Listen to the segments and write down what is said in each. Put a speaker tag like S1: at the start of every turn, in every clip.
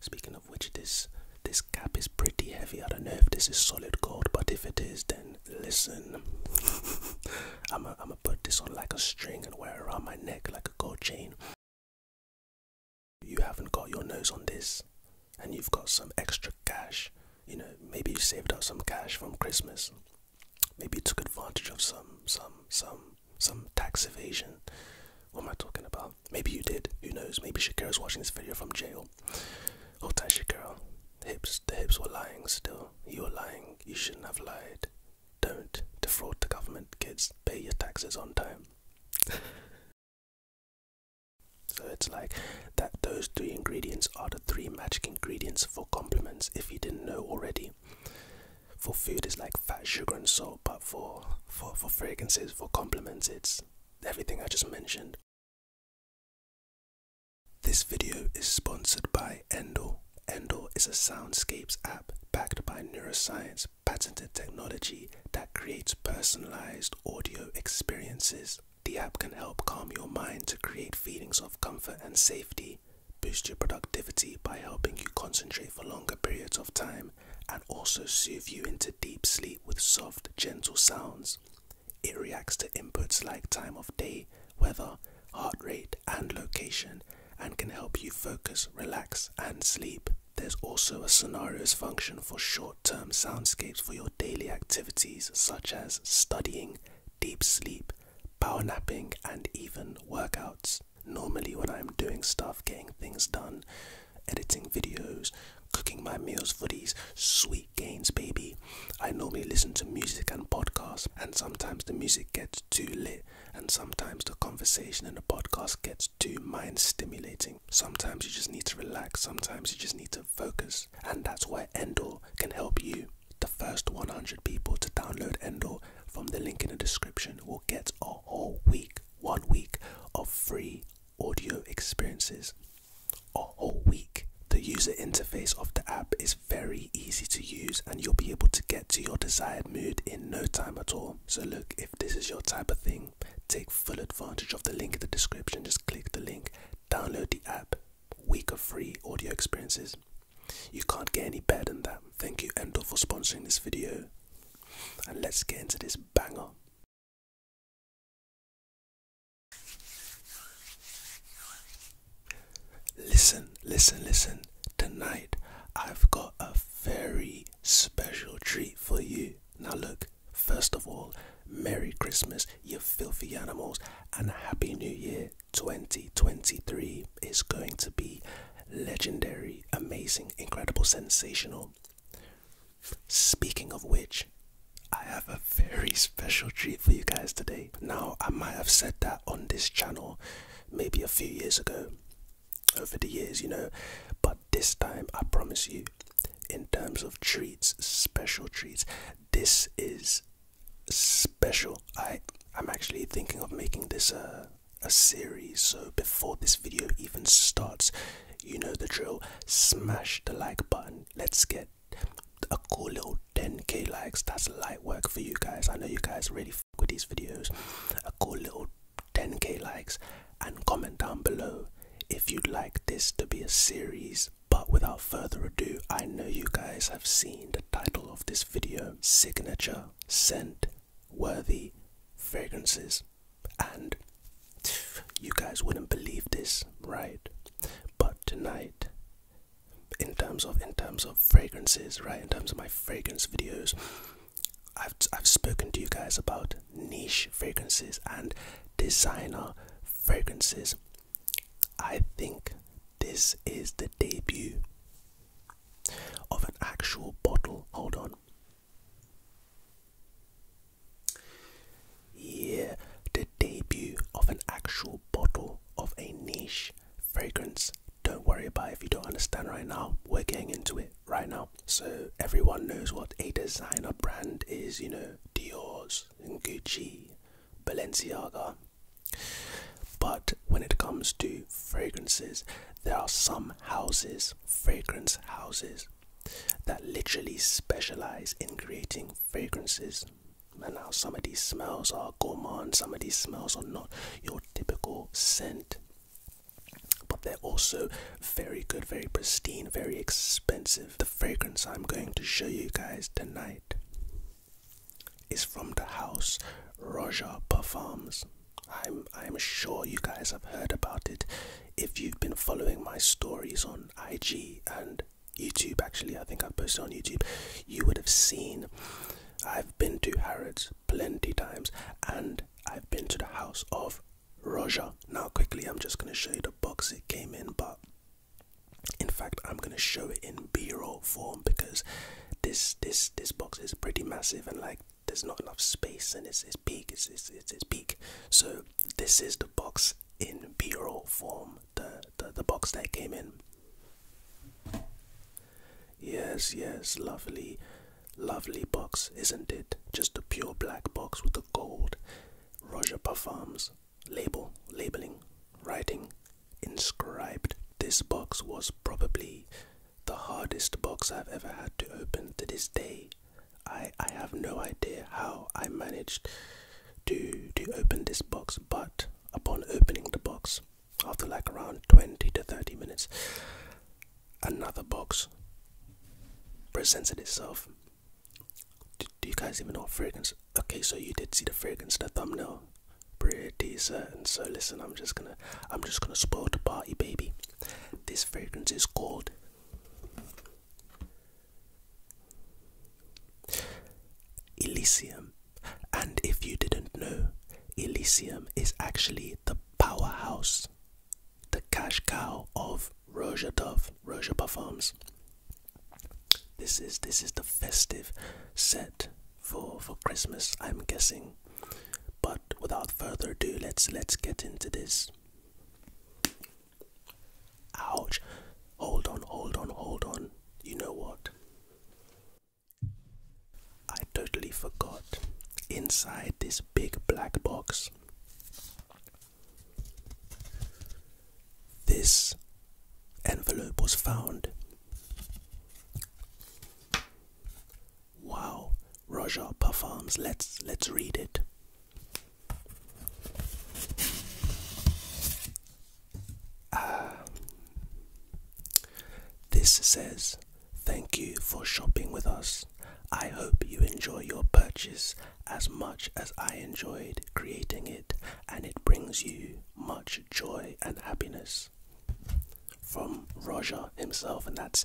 S1: Speaking of which, this this cap is pretty heavy. I don't know if this is solid gold, but if it is, then listen. I'm gonna put this on like a string and wear it around my neck like a gold chain. You haven't got your nose on this, and you've got some extra cash. You know, maybe you saved up some cash from Christmas. Maybe you took advantage of some some some some tax evasion. What am I talking about? Maybe you did. Who knows? Maybe Shakira's watching this video from jail. Oh, tight, Shakira. Hips, the hips were lying still. You were lying. You shouldn't have lied. Don't defraud the government, kids. Pay your taxes on time. so it's like that those three ingredients are the three magic ingredients for compliments if you didn't know already for food it's like fat, sugar, and salt, but for for for fragrances, for compliments, it's everything I just mentioned. This video is sponsored by Endor. Endor is a soundscapes app backed by neuroscience patented technology that creates personalized audio experiences. The app can help calm your mind to create feelings of comfort and safety, boost your productivity by helping you concentrate for longer periods of time and also soothe you into deep sleep with soft, gentle sounds. It reacts to inputs like time of day, weather, heart rate, and location, and can help you focus, relax, and sleep. There's also a scenarios function for short term soundscapes for your daily activities such as studying, deep sleep, power napping, and even workouts. Normally, when I'm doing stuff, getting things done, editing videos, cooking my meals for these sweet gains, baby, I normally listen to music and podcasts, and sometimes the music gets too lit, and sometimes the conversation in the podcast gets too mind stimulating. Sometimes you just need to relax, sometimes you just need to focus, and that's where Endor can help you. The first 100 people to download Endor from the link in the description will get a whole week, one week of free audio experiences. A whole week. The user interface of the app is very easy to use and you'll be able to get to your desired mood in no time at all. So, look, if this is your type of thing, take full advantage of the link in the description. Just click the link, download the app, week of free audio experiences. You can't get any better than that. Thank you, Endor, for sponsoring this video. And let's get into this banger. Listen, listen, listen. Tonight I've got a very special treat for you. Now, look, first of all, Merry Christmas, you filthy animals, and Happy New Year 2023 is going to be legendary, amazing, incredible, sensational. Speaking of which, I have a very special treat for you guys today. Now, I might have said that on this channel maybe a few years ago, over the years, you know, but this time I promise you, in terms of treats, special treats, this is special. I, I'm actually thinking of making this a uh, a series so before this video even starts you know the drill smash the like button let's get a cool little 10k likes that's light work for you guys i know you guys really f with these videos a cool little 10k likes and comment down below if you'd like this to be a series but without further ado i know you guys have seen the title of this video signature scent worthy fragrances. And you guys wouldn't believe this, right? But tonight, in terms of in terms of fragrances, right? In terms of my fragrance videos, I've I've spoken to you guys about niche fragrances and designer fragrances. I think this is the debut of an actual bottle. Hold on. Yeah, the debut of an actual bottle of a niche fragrance. Don't worry about if you don't understand right now. We're getting into it right now. So everyone knows what a designer brand is, you know, Dior's and Gucci, Balenciaga, but when it comes to fragrances, there are some houses, fragrance houses, that literally specialize in creating fragrances. And now some of these smells are gourmand, some of these smells are not your typical scent. But they're also very good, very pristine, very expensive. The fragrance I'm going to show you guys tonight is from the house Roger performs. I'm I'm sure you guys have heard about it if you've been following my stories on IG and YouTube actually I think i posted on YouTube you would have seen I've been to Harrods plenty times and I've been to the house of Roger. Now quickly I'm just gonna show you the box it came in but in fact I'm gonna show it in B-roll form because this this this box is pretty massive and like there's not enough space and it's it's big it's it's it's, big so this is the box in bureau form the, the the box that came in yes yes lovely lovely box isn't it just a pure black box with the gold roger parfums label labeling writing inscribed. This box was probably the hardest box I've ever had to open to this day. I, I have no idea how I managed to to open this box, but upon opening the box, after like around 20 to 30 minutes, another box presented itself. Do, you guys even know fragrance? Okay, so you did see the fragrance, the thumbnail pretty certain. So listen, I'm just gonna I'm just gonna spoil the party, baby. This fragrance is called Elysium. And if you didn't know, Elysium is actually the powerhouse, the cash cow of Roja Dove, Roja Parfums. This is this is the festive set for for Christmas, I'm guessing. But without further ado, let's let's get into this. Ouch. Hold on, hold on, hold on. You know what? I totally forgot. Inside this big black box, this envelope was found. Wow, Roger performs. Let's let's read it. Ah. This says, Thank you for shopping with us. I hope you enjoy your purchase as much as I enjoyed creating it, and it brings you much joy and happiness from Roger himself, and that's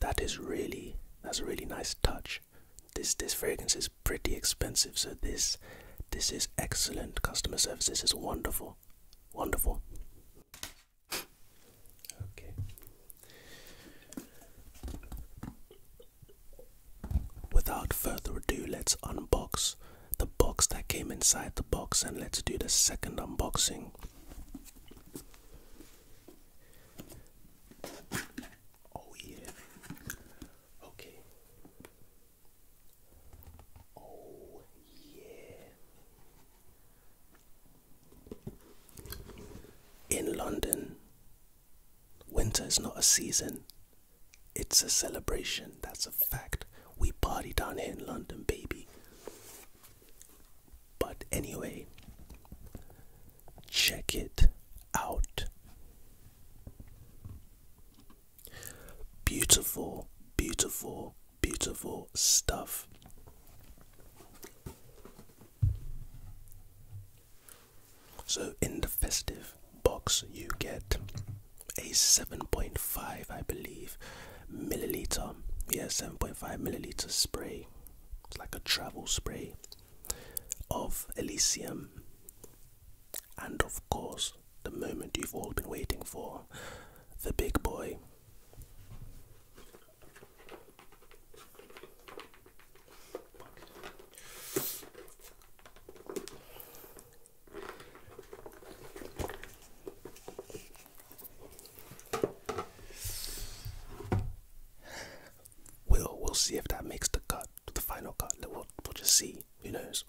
S1: that is really that's a really nice touch. This this fragrance is pretty expensive, so this this is excellent customer service. This is wonderful, wonderful. Okay. Without further ado, let's unbox the box that came inside the box and let's do the second unboxing. Oh yeah. Okay. Oh yeah. In London, winter is not a season, it's a celebration, that's a fact. We party down here in London, baby. But anyway, check it out. Beautiful, beautiful, beautiful stuff. So, in the festive box you get a 7.5 i believe milliliter yeah 7.5 milliliter spray it's like a travel spray of elysium and of course the moment you've all been waiting for the big boy We'll we'll see if that makes the cut, the final cut. We'll we'll just see. Who knows?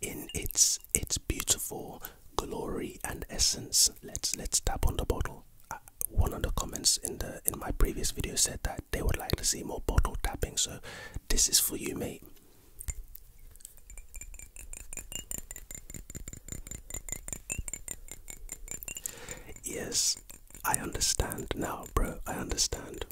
S1: In its its beautiful glory and essence, let's let's tap on the bottle. Uh, one of the comments in the in my previous video said that they would like to see more bottle tapping, so this is for you, mate. Yes, I understand now, bro. I understand.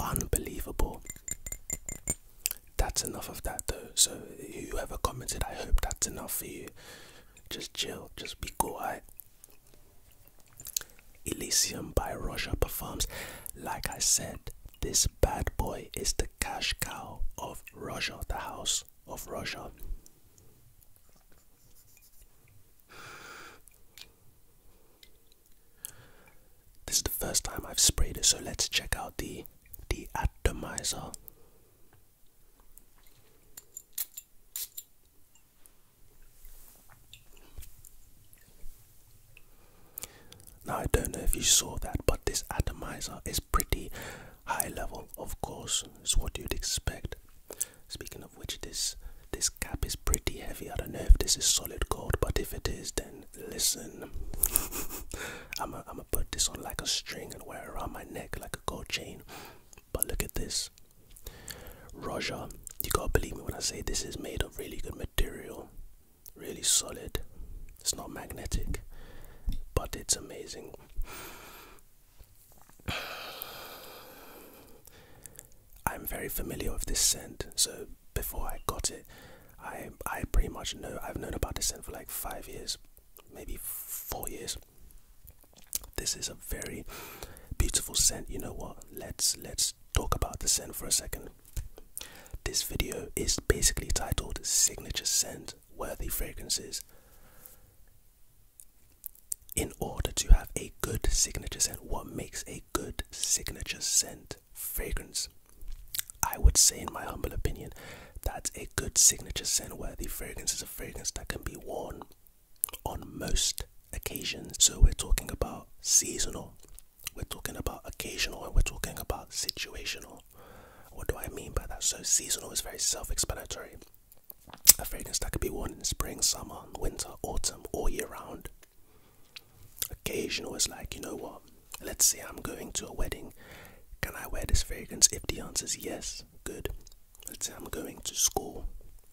S1: Unbelievable. That's enough of that though. So whoever commented, I hope that's enough for you. Just chill, just be quiet. Elysium by Roger Performs. Like I said, this bad boy is the cash cow of Roger, the house of Roger. This is the first time I've sprayed it, so let's check out the the atomizer. Now I don't know if you saw that, but this atomizer is pretty high level, of course, it's what you'd expect. Speaking of which, this this cap is pretty heavy. I don't know if this is solid gold, but if it is, then listen. I'm gonna I'm put this on like a string and wear it around my neck like a gold chain. But look at this. Roger, you gotta believe me when I say this is made of really good material, really solid. It's not magnetic, but it's amazing. I'm very familiar with this scent, so before I got it, I I pretty much know I've known about this scent for like five years, maybe four years. This is a very beautiful scent. You know what? Let's let's talk about the scent for a second. This video is basically titled Signature Scent Worthy Fragrances. In order to have a good signature scent, what makes a a good signature scent fragrance. I would say, in my humble opinion, that a good signature scent worthy fragrance is a fragrance that can be worn on most occasions. So we're talking about seasonal, we're talking about occasional, and we're talking about situational. What do I mean by that? So seasonal is very self-explanatory. A fragrance that could be worn in spring, summer, winter, autumn, all year round. Occasional is like, you know what? Let's say I'm going to a wedding. Can I wear this fragrance? If the answer is yes, good. Let's say I'm going to school,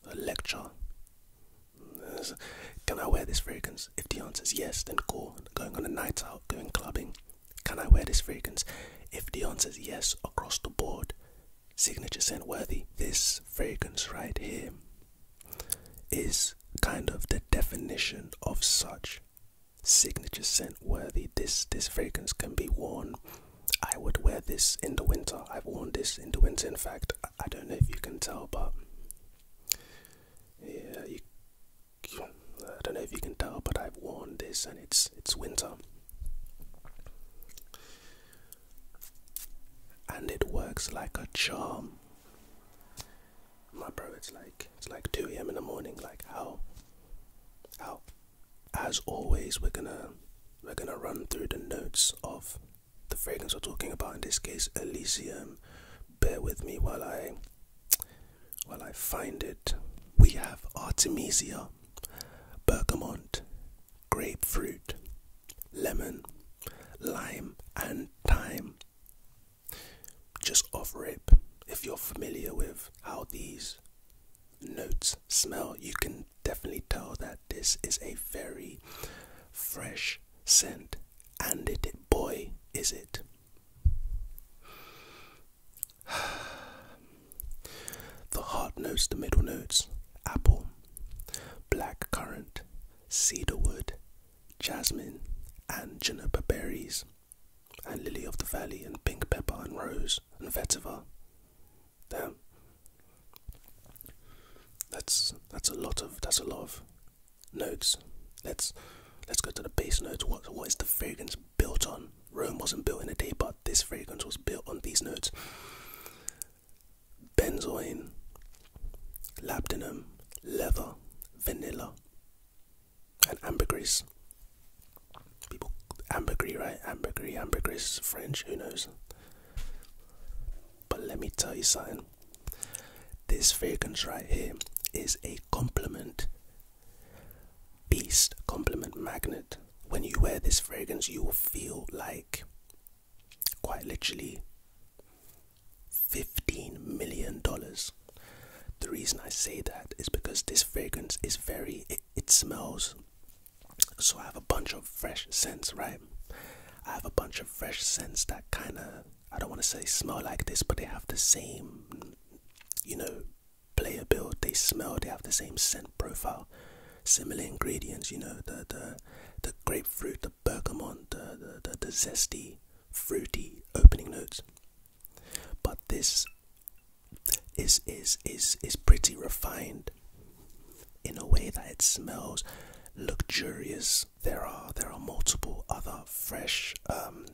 S1: a lecture. Can I wear this fragrance? If the answer is yes, then cool. Going on a night out, going clubbing. Can I wear this fragrance? If the answer is yes, across the board, signature scent worthy. This fragrance right here is kind of the definition of such signature scent worthy. This this fragrance can be worn. I would wear this in the winter. I've worn this in the winter. In fact, I, don't know if you can tell, but yeah, I don't know if you can tell, but I've worn this, and it's it's winter and it works like a charm. My bro, it's like it's like 2 a.m. in the morning. Like how, how? As always, we're gonna we're gonna run through the notes of the fragrance we're talking about. In this case, Elysium. Bear with me while I while I find it. We have Artemisia, Bergamot, grapefruit, lemon, lime, and thyme. Just off ripe if you're familiar with how these notes smell, you can definitely tell that this is a very fresh scent. And it, boy, is it. the heart notes, the middle notes, apple, black currant, cedarwood, jasmine, and juniper berries, and lily of the valley, and pink pepper, and rose, and vetiver. Damn. That's that's a lot of that's a lot of notes. Let's let's go to the base notes. What what is the fragrance built on? Rome wasn't built in a day, but this fragrance was built on these notes benzoin, labdanum, leather, vanilla, and ambergris. People, ambergris, right? Ambergris, ambergris, French, who knows? But let me tell you something. This fragrance right here is a complement. beast complement magnet. When you wear this fragrance, you will feel like quite literally $15 million. The reason I say that is because this fragrance is very, it, smells. So I have a bunch of fresh scents, right? I have a bunch of fresh scents that kind of, I don't want to say smell like this, but they have the same, you know, player build. They smell, they have the same scent profile. Similar ingredients, you know, the the the grapefruit, the bergamont, the the, zesty, fruity opening notes. But this is is is is pretty refined in a way that it smells luxurious. There are there are multiple other fresh um,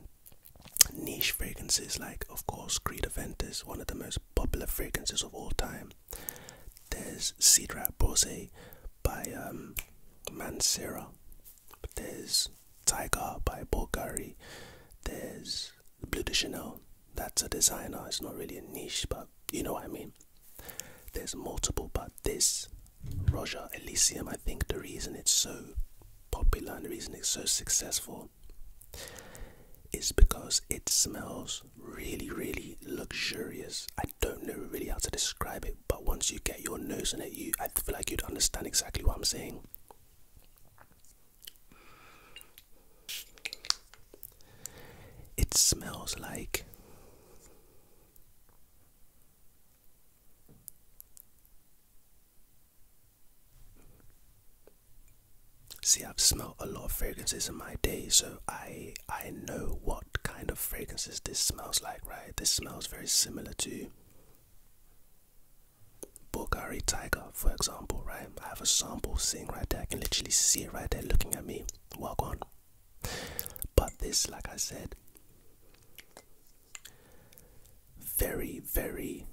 S1: niche fragrances like of course Creed Aventus, one of the most popular fragrances of all time. There's Sidra Bose by um, Mansera. There's Tiger by Bulgari. There's Blue de Chanel. That's a designer. It's not really a niche, but you know what I mean. There's multiple, but this Roger Elysium, I think the reason it's so popular and the reason it's so successful is because it smells really, really luxurious. I don't know really how to describe it, but once you get your nose in it, you I feel like you'd understand exactly what I'm saying. It smells like See, I've smelled a lot of fragrances in my day, so I I know what kind of fragrances this smells like, right? This smells very similar to Bulgari Tiger, for example, right? I have a sample sitting right there. I can literally see it right there looking at me. Well gone. But this, like I said, very, very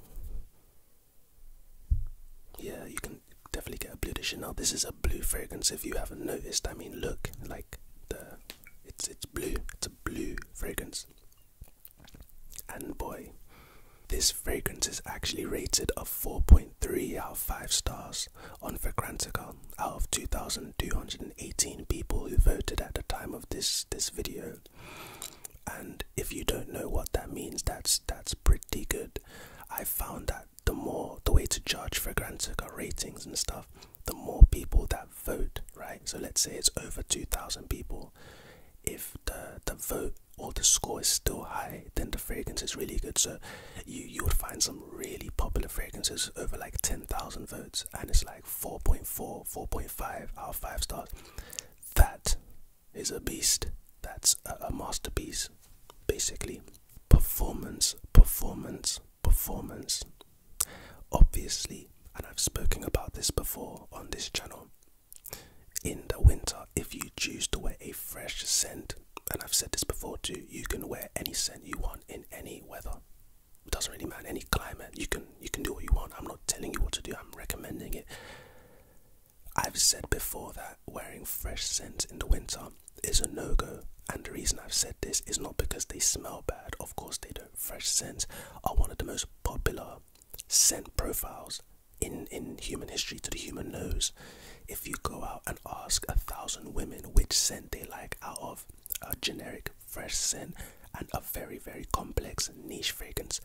S1: yeah, you can definitely get a blue edition. Now this is a blue fragrance. If you haven't noticed, I mean, look, like the it's it's blue. It's a blue fragrance. And boy, this fragrance is actually rated a 4.3 out of 5 stars on Fragrantica out of 2,218 people who voted at the time of this this video. And if you don't know what that means, that's that's pretty good. I found that the more the way to judge Fragrantica ratings and stuff, the more people that vote, right? So let's say it's over 2,000 people. If the, the vote or the score is still high, then the fragrance is really good. So you, you would find some really popular fragrances over like 10,000 votes, and it's like 4.4, 4.5 out 5 stars. That is a beast. That's a, masterpiece, basically. Performance, performance, performance. Obviously, and I've spoken about this before on this channel. In the winter, if you choose to wear a fresh scent, and I've said this before too, you can wear any scent you want in any weather. It doesn't really matter any climate. You can you can do what you want. I'm not telling you what to do. I'm recommending it. I've said before that wearing fresh scents in the winter is a no go, and the reason I've said this is not because they smell bad, of course, they don't. Fresh scents are one of the most popular scent profiles in, in human history to the human nose. If you go out and ask a thousand women which scent they like out of a generic fresh scent and a very, very complex niche fragrance,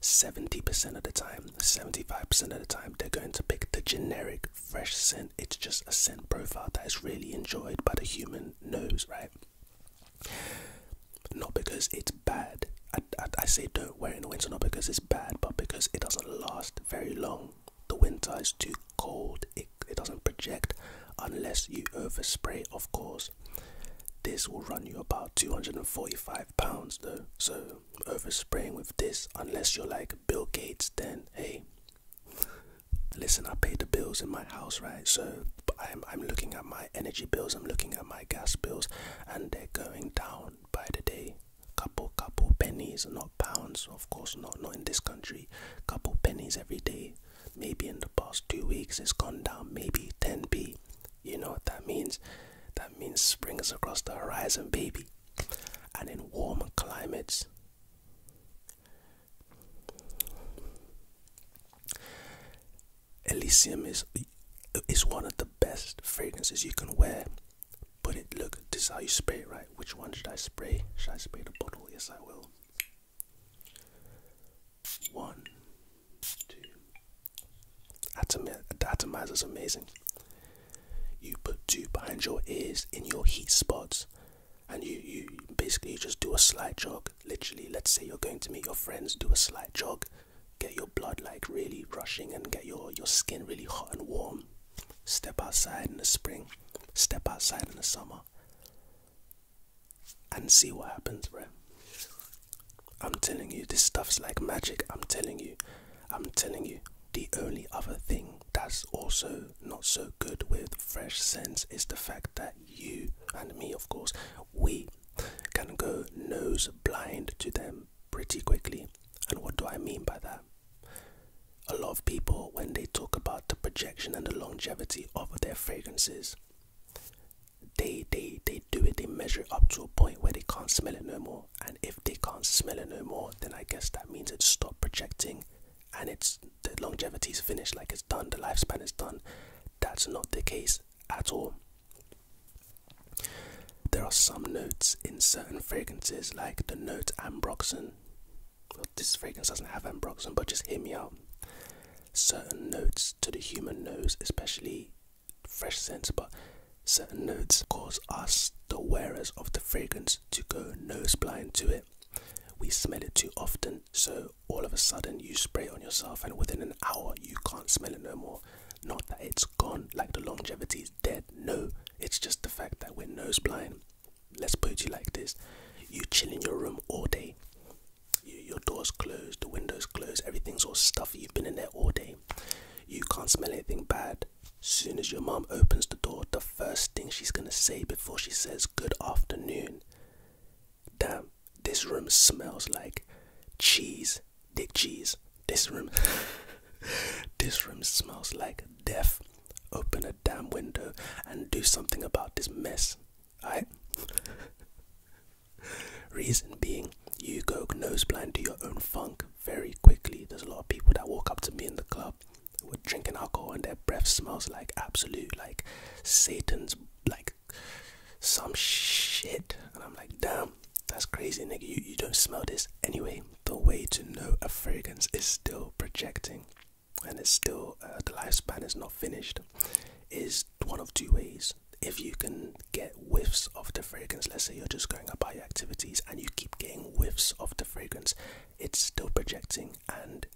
S1: 70% of the time, 75% of the time, they're going to pick the generic fresh scent. It's just a scent profile that is really enjoyed by the human nose, right? Not because it's bad. I, I, say don't wear in winter, not because it's bad, but because it doesn't last very long. The winter is too cold, it, it doesn't project unless you overspray, of course. This will run you about £245 though, so over spraying with this unless you're like Bill Gates, then hey, listen, I pay the bills in my house, right? So I'm, I'm looking at my energy bills, I'm looking at my gas bills, and they're going down by the day. Couple, couple pennies, not pounds, of course, not, not in this country. Couple pennies every day. Maybe in the past two weeks, it's gone down maybe 10p. You know what that means? That means spring is across the horizon, baby. And in warm climates, Elysium is is one of the best fragrances you can wear. But it look, this is how you spray right? Which one should I spray? Should I spray the bottle? Yes, I will. One, two, Atomizer is amazing. You put two behind your ears in your heat spots, and you, you basically just do a slight jog. Literally, let's say you're going to meet your friends, do a slight jog, get your blood like really rushing and get your, your skin really hot and warm. Step outside in the spring, step outside in the summer, and see what happens, bro. I'm telling you, this stuff's like magic. I'm telling you, I'm telling you. The only other thing that's also not so good with fresh scents is the fact that you and me, of course, we can go nose blind to them pretty quickly. And what do I mean by that? A lot of people, when they talk about the projection and the longevity of their fragrances, they they they do it they measure it up to a point where they can't smell it no more and if they can't smell it no more then i guess that means it's stopped projecting and it's the longevity's finished like it's done the lifespan is done that's not the case at all there are some notes in certain fragrances like the note ambroxan well, this fragrance doesn't have ambroxan but just hear me out certain notes to the human nose especially fresh scents, but certain notes cause us, the wearers of the fragrance, to go nose blind to it. We smell it too often, so all of a sudden you spray it on yourself, and within an hour you can't smell it no more. Not that it's gone, like the longevity is dead. No, it's just the fact that we're nose blind. Let's put you like this: you chill in your room all day, your doors closed, the windows closed, everything's all stuffy. You've been in there all day you can't smell anything bad. Soon as your mom opens the door, the first thing she's gonna say before she says good afternoon. Damn, this room smells like cheese, dick cheese. This room This room smells like death. Open a damn window and do something about this mess. Alright? Reason being, you go nose blind to your own funk very quickly. There's a lot of people that walk up to me in the club who are drinking alcohol and their breath smells like absolute, like Satan's, like some shit. And I'm like, damn, that's crazy, nigga. You, you don't smell this. Anyway, the way to know a fragrance is still projecting and it's still, uh, the lifespan is not finished, is one of two ways if you can get whiffs of the fragrance, let's say you're just going about your activities and you keep getting whiffs of the fragrance, it's still projecting and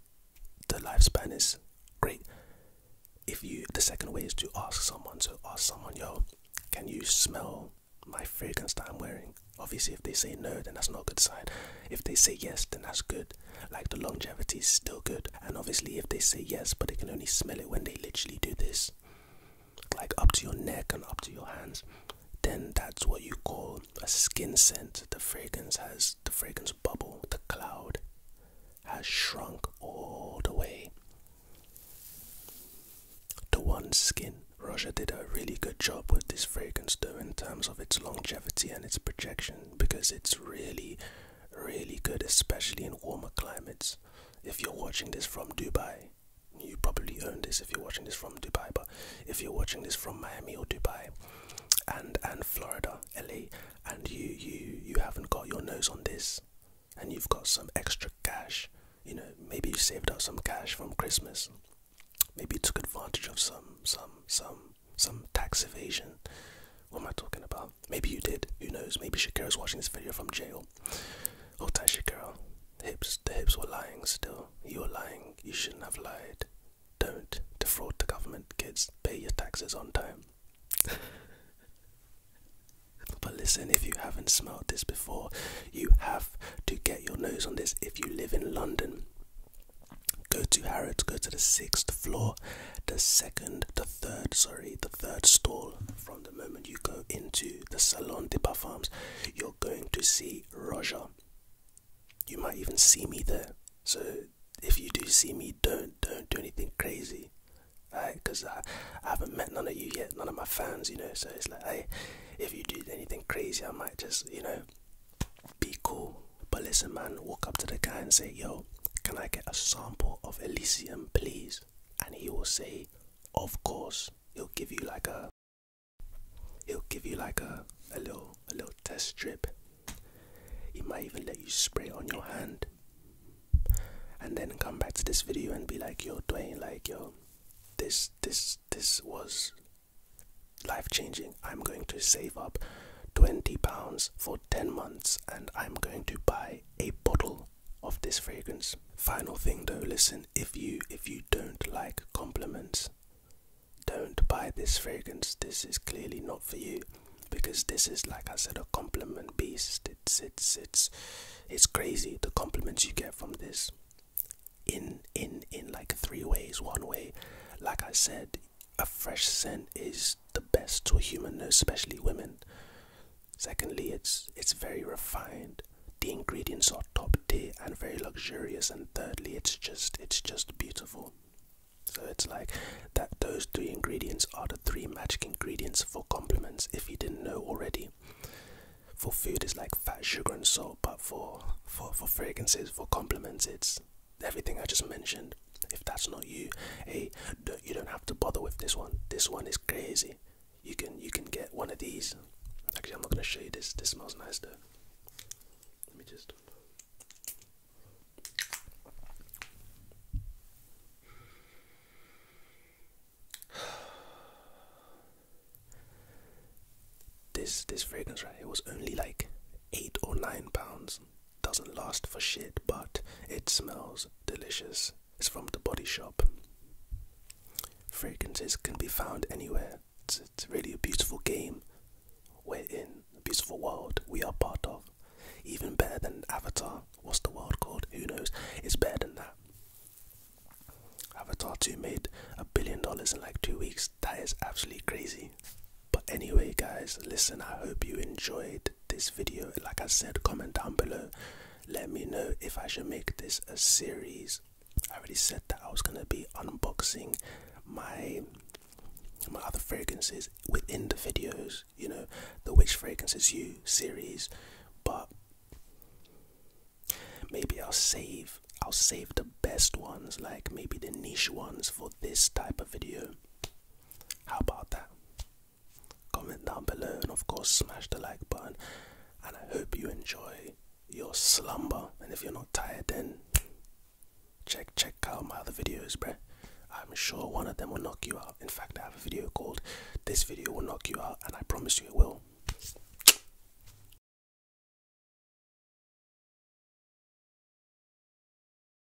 S1: the lifespan is great. If you the second way is to ask someone, to ask someone, yo, can you smell my fragrance that I'm wearing? Obviously if they say no then that's not a good sign. If they say yes then that's good. Like the longevity is still good. And obviously if they say yes but they can only smell it when they literally do this like up to your neck and up to your hands, then that's what you call a skin scent. The fragrance has the fragrance bubble, the cloud has shrunk all the way to one skin. Roger did a really good job with this fragrance though in terms of its longevity and its projection because it's really really good especially in warmer climates. If you're watching this from Dubai, you probably own this if you're watching this from Dubai, but if you're watching this from Miami or Dubai and and Florida, LA, and you you you haven't got your nose on this and you've got some extra cash, you know, maybe you saved up some cash from Christmas. Maybe you took advantage of some some some some tax evasion. What am I talking about? Maybe you did. Who knows? Maybe Shakira's watching this video from jail. Oh, tight girl, Hips. The hips were lying still. You were lying. You shouldn't have lied. Don't defraud the government, kids. Pay your taxes on time. but listen, if you haven't smelled this before, you have to get your nose on this if you live in London. Go to Harrods, go to the sixth floor the second, the third, sorry, the third stall from the moment you go into the Salon de Parfums, you're going to see Roger. You might even see me there. So if you do see me, don't don't do anything crazy, right? Because I, I haven't met none of you yet, none of my fans, you know. So it's like, hey, if you do anything crazy, I might just, you know, be cool. But listen, man, walk up to the guy and say, yo, can I get a sample of Elysium, please? And he will say, Of course. He'll give you like a he'll give you like a, a little a little test strip. He might even let you spray it on your hand. And then come back to this video and be like, yo, Dwayne, like yo, this this this was life changing. I'm going to save up twenty pounds for ten months and I'm going to buy a bottle of this fragrance. Final thing though, listen, if you if you don't like compliments, don't buy this fragrance. This is clearly not for you because this is like I said a compliment beast. It's it's it's it's crazy the compliments you get from this in in in like three ways. One way, like I said, a fresh scent is the best to a human, especially women. Secondly, it's it's very refined. The ingredients are top tier and very luxurious. And thirdly, it's just it's just beautiful. So it's like that those three ingredients are the three magic ingredients for compliments if you didn't know already. For food is like fat, sugar and salt, but for for, for fragrances, for compliments it's everything I just mentioned. If that's not you, hey, you don't have to bother with this one. This one is crazy. You can you can get one of these. Actually, I'm not gonna show you this. This smells nice though. Let me just. This this fragrance right, it was only like eight or nine pounds doesn't last for shit, but it smells delicious. It's from the body shop. Fragrances can be found anywhere. It's, really a beautiful game. We're in a beautiful world we are part of. Even better than Avatar. What's the world called? Who knows? It's better than that. Avatar too made a billion dollars in like two weeks. That is absolutely crazy. But anyway, guys, listen, I hope you enjoyed this video. Like I said, comment down below. Let me know if I should make this a series. I already said that I was gonna be unboxing my my other fragrances within the videos, you know, the Which Fragrances You series, but maybe I'll save I'll save the best ones, like maybe the niche ones for this type of video. How about that? Comment down below and of course smash the like button. And I hope you enjoy your slumber. And if you're not tired, then check check out my other videos, bruh. I'm sure one of them will knock you out. In fact, I have a video called This Video Will Knock You Out, and I promise you it will.